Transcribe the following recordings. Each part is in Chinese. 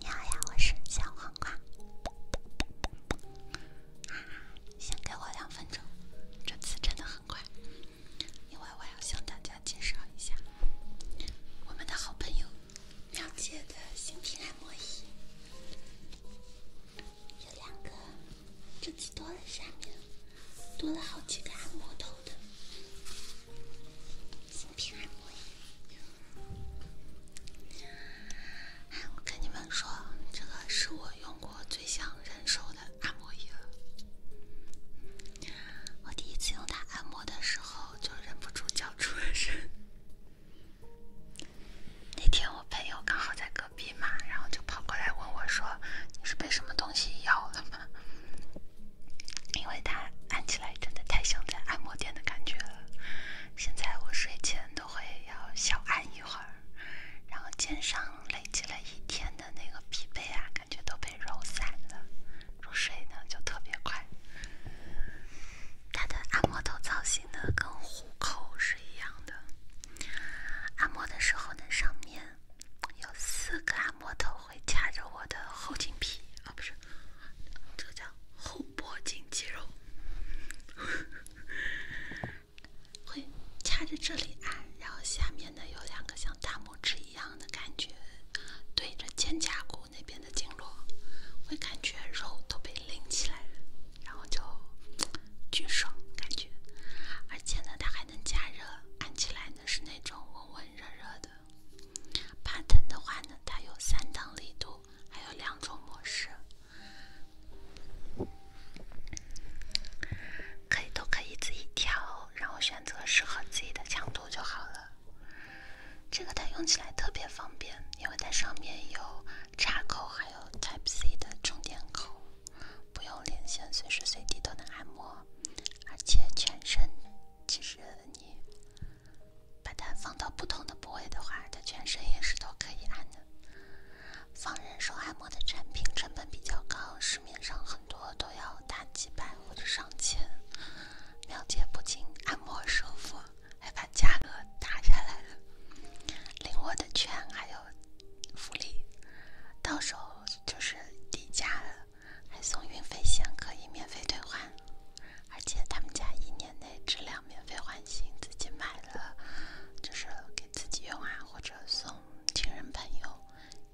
你好呀，我是小黄瓜。先给我两分钟，这次真的很快，因为我要向大家介绍一下我们的好朋友妙姐的新品按摩仪。有两个，这次多了下面多了好几个按摩头。心平按摩仪，哎，我跟你们说，这个是我用过最想忍受的按摩仪了。我第一次用它按摩的时候，就忍不住叫出了声。那天我朋友刚好在隔壁嘛，然后就跑过来问我说：“你是被什么东西咬了？” 因为它按起来真的太像在按摩店的感觉了。现在我睡前都会要小按一会儿，然后肩上累积了一天的那个疲惫啊，感觉都被揉散了，入睡呢就特别快。它的按摩头造型呢跟虎口是一样的，按摩的时候呢上面。有四个按摩头会掐着我的后颈皮啊，不是，这个叫后脖颈肌肉，会掐着这里按，然后下面呢有两个像大拇指一样的感觉，对着肩胛骨那边的经络，会感觉肉都被拎起来了，然后就巨爽感觉，而且呢它还能加热，按起来呢是那种。温热热的，怕疼的话呢，它有三档力度，还有两种模式，可以都可以自己调，然后选择适合自己的强度就好了。这个它用起来特别方便，因为它上面有插口，还有 Type C 的充电口。不用连线，随时随地都能按摩，而且全身，其实你把它放到不同的部位的话，它全身也是都可以按的。放人手按摩的产品成本比较高，市面上很多都要大几百或者上千。苗姐不仅按摩舒服，还把价格打下来了，领我的券还有福利，到时候。就是底价了，还送运费险，可以免费退换，而且他们家一年内质量免费换新，自己买了就是给自己用啊，或者送亲人朋友，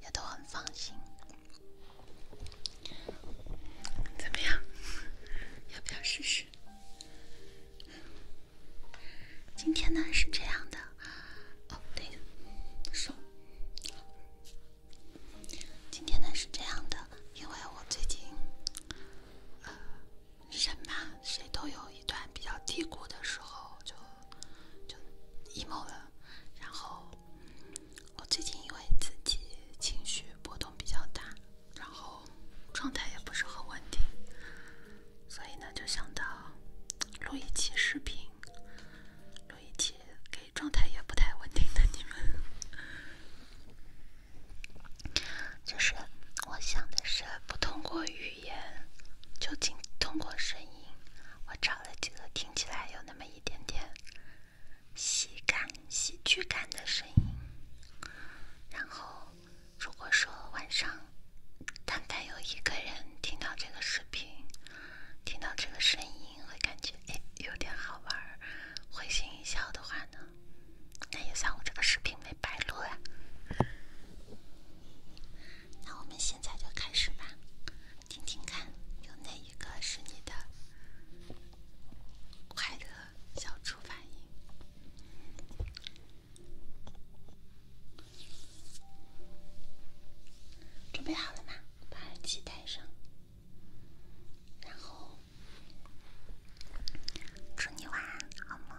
也都很放心。怎么样？要不要试试？今天呢是这样的。好，等今天呢是这样的，因为我最近，呃，人嘛，谁都有一段比较低谷的时候，就就 emo 了。然后我最近因为自己情绪波动比较大，然后状态也不是很稳定，所以呢就想到录一期视频。录一集给状态也不太稳定的你们，就是我想的是不通过语言，就仅通过声音。我找了几个听起来有那么一点点喜感、喜剧感的声音，然后如果说晚上。单单有一个人听到这个视频，听到这个声音，会感觉哎有点好玩，会心一笑的话呢，那也算我这个视频没白录呀。那我们现在就开始吧，听听看，有哪一个是你的快乐小触发音？准备好了吗？把耳机戴上，然后祝你晚安，好梦。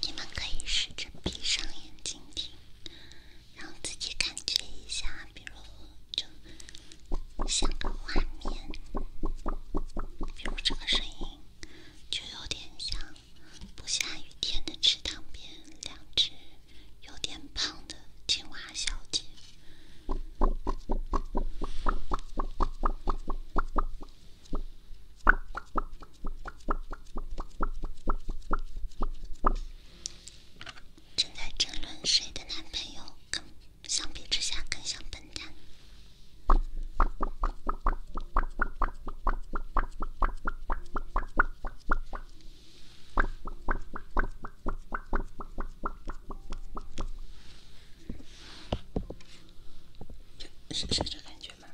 你们可以试着闭上眼睛。听，让自己感觉一下，比如就像个画面，比如这个声音，就有点像不下雨天的池塘边，两只有点胖的青蛙小姐。正在争论谁的男朋友更相比之下更像笨蛋，是是这感觉吗？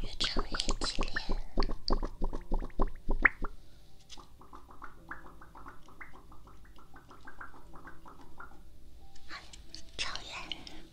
越长越激烈，吵呀！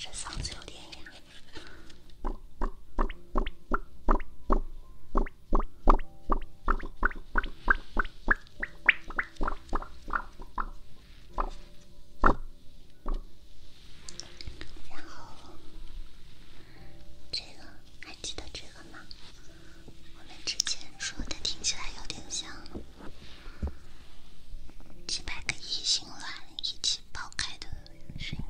这嗓子有点哑。然后，这个还记得这。了吗？我们之前说的听起来有点像几百个异性卵一起爆开的声音。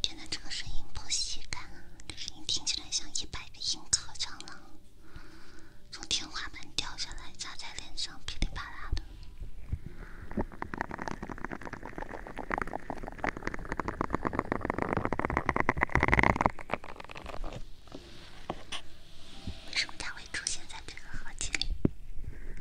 天哪，这个声音破喜感啊！这声音听起来像一百个硬壳长螂从天花板掉下来砸在脸上，噼里啪啦的。为什么它会出现在这个合辑里？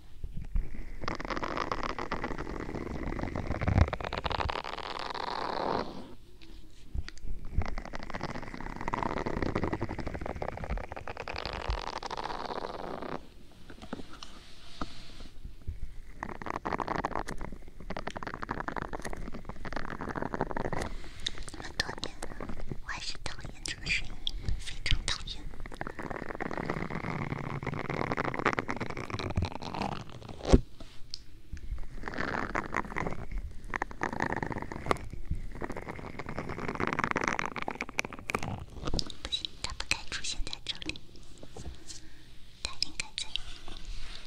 这么多年，我还是讨厌这个声音，非常讨厌。不行，他不该出现在这里。他应该在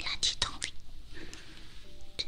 垃圾桶里。对。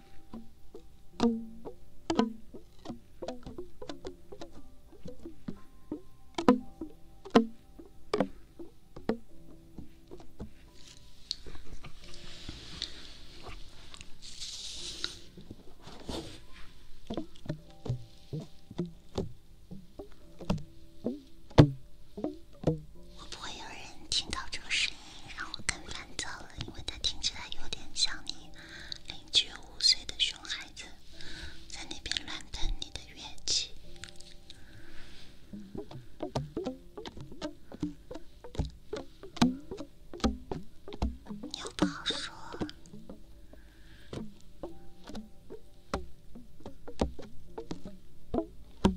我不会有人听到这个声音。让我更烦躁了，因为它听起来有点像你邻居五岁的熊孩子在那边乱喷你的怨气，你又不好说。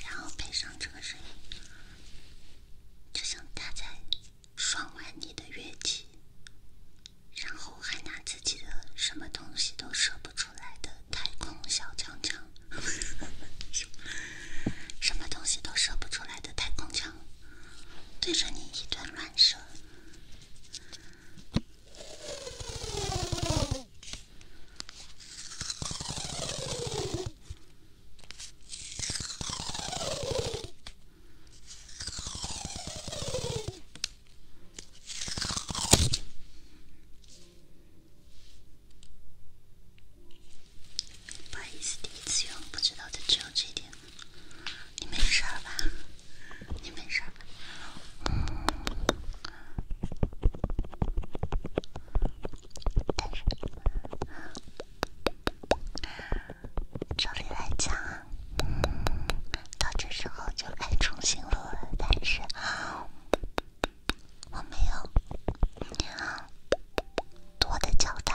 然后配上这个声音，就像他在爽玩你的乐器。然后还拿自己的什么东西都射不出来的太空小枪枪，什么东西都射不出来的太空枪，对着你一顿乱射。不好意思，第一次用，不知道就只有这点。你没事吧？你没事照理来讲，到这时候就该重新录了，但是我没有，啊，多的交代。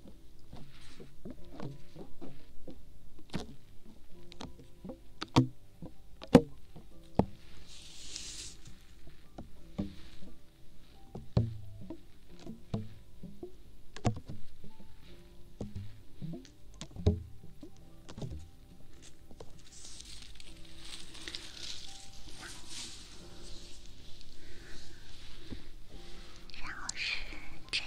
然后是这个。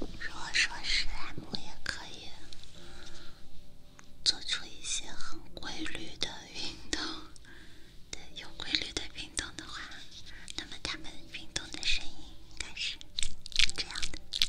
如果说史莱姆也可以做出一些很规律的运动，对，有规律的运动的话，那么它们运动的声音应该是这样的。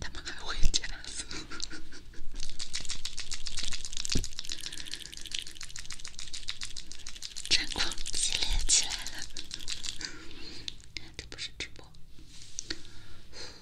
他们还会加速，战况激烈起来了。这不是直播。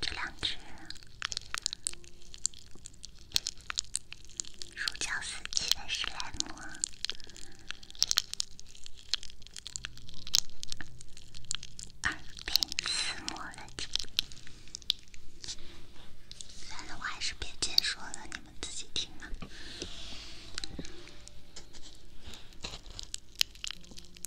这两只如胶似漆的史莱姆，耳边私磨了听。算了，我还是别解说了，你们自己听吧。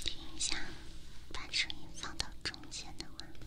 听一下，把声音放到中间的位置。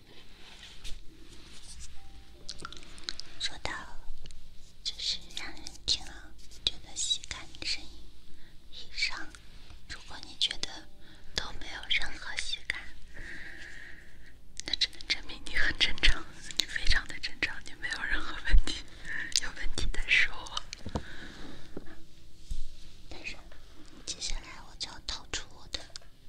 说到，就是让人听了觉得喜感的声音以上，如果你觉得都没有任何喜感，那只能证明你很正常，你非常的正常，你没有任何问题。有问题的时候，但是接下来我就要掏出我的。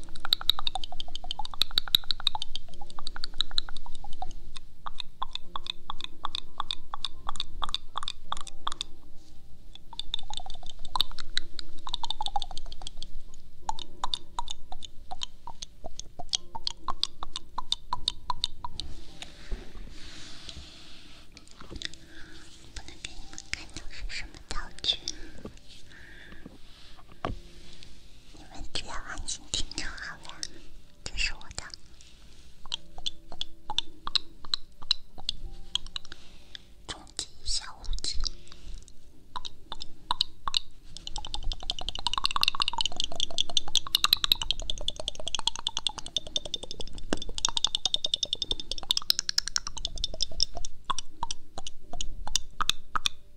不能给你们看到是什么道具。你们只要安心听就好了。这是我的终极小物质。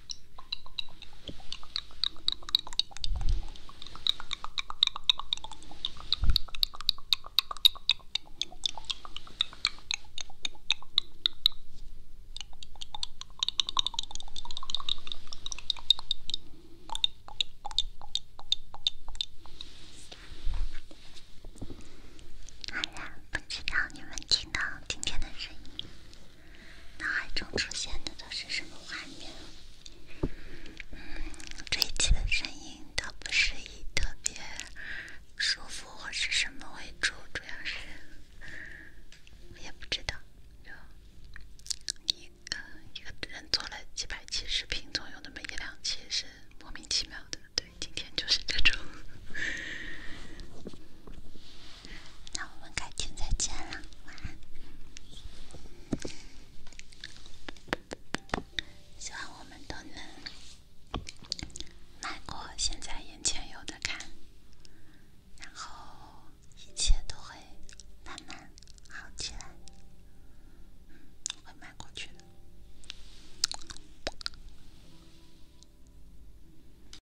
当然不知道你们听到今天的声音。脑海中出现的都是什么画面？嗯，这一期的声音倒不是以特别舒服或是什么为主，主要是我也不知道，就以呃一个人做了几百期视频，总有那么一两期是莫名其妙的。对，今天就是这种。那我们改天再见了，晚安。希望我们都能迈过现在眼前有的坎，然后一切都会慢慢好起来，会迈过去的。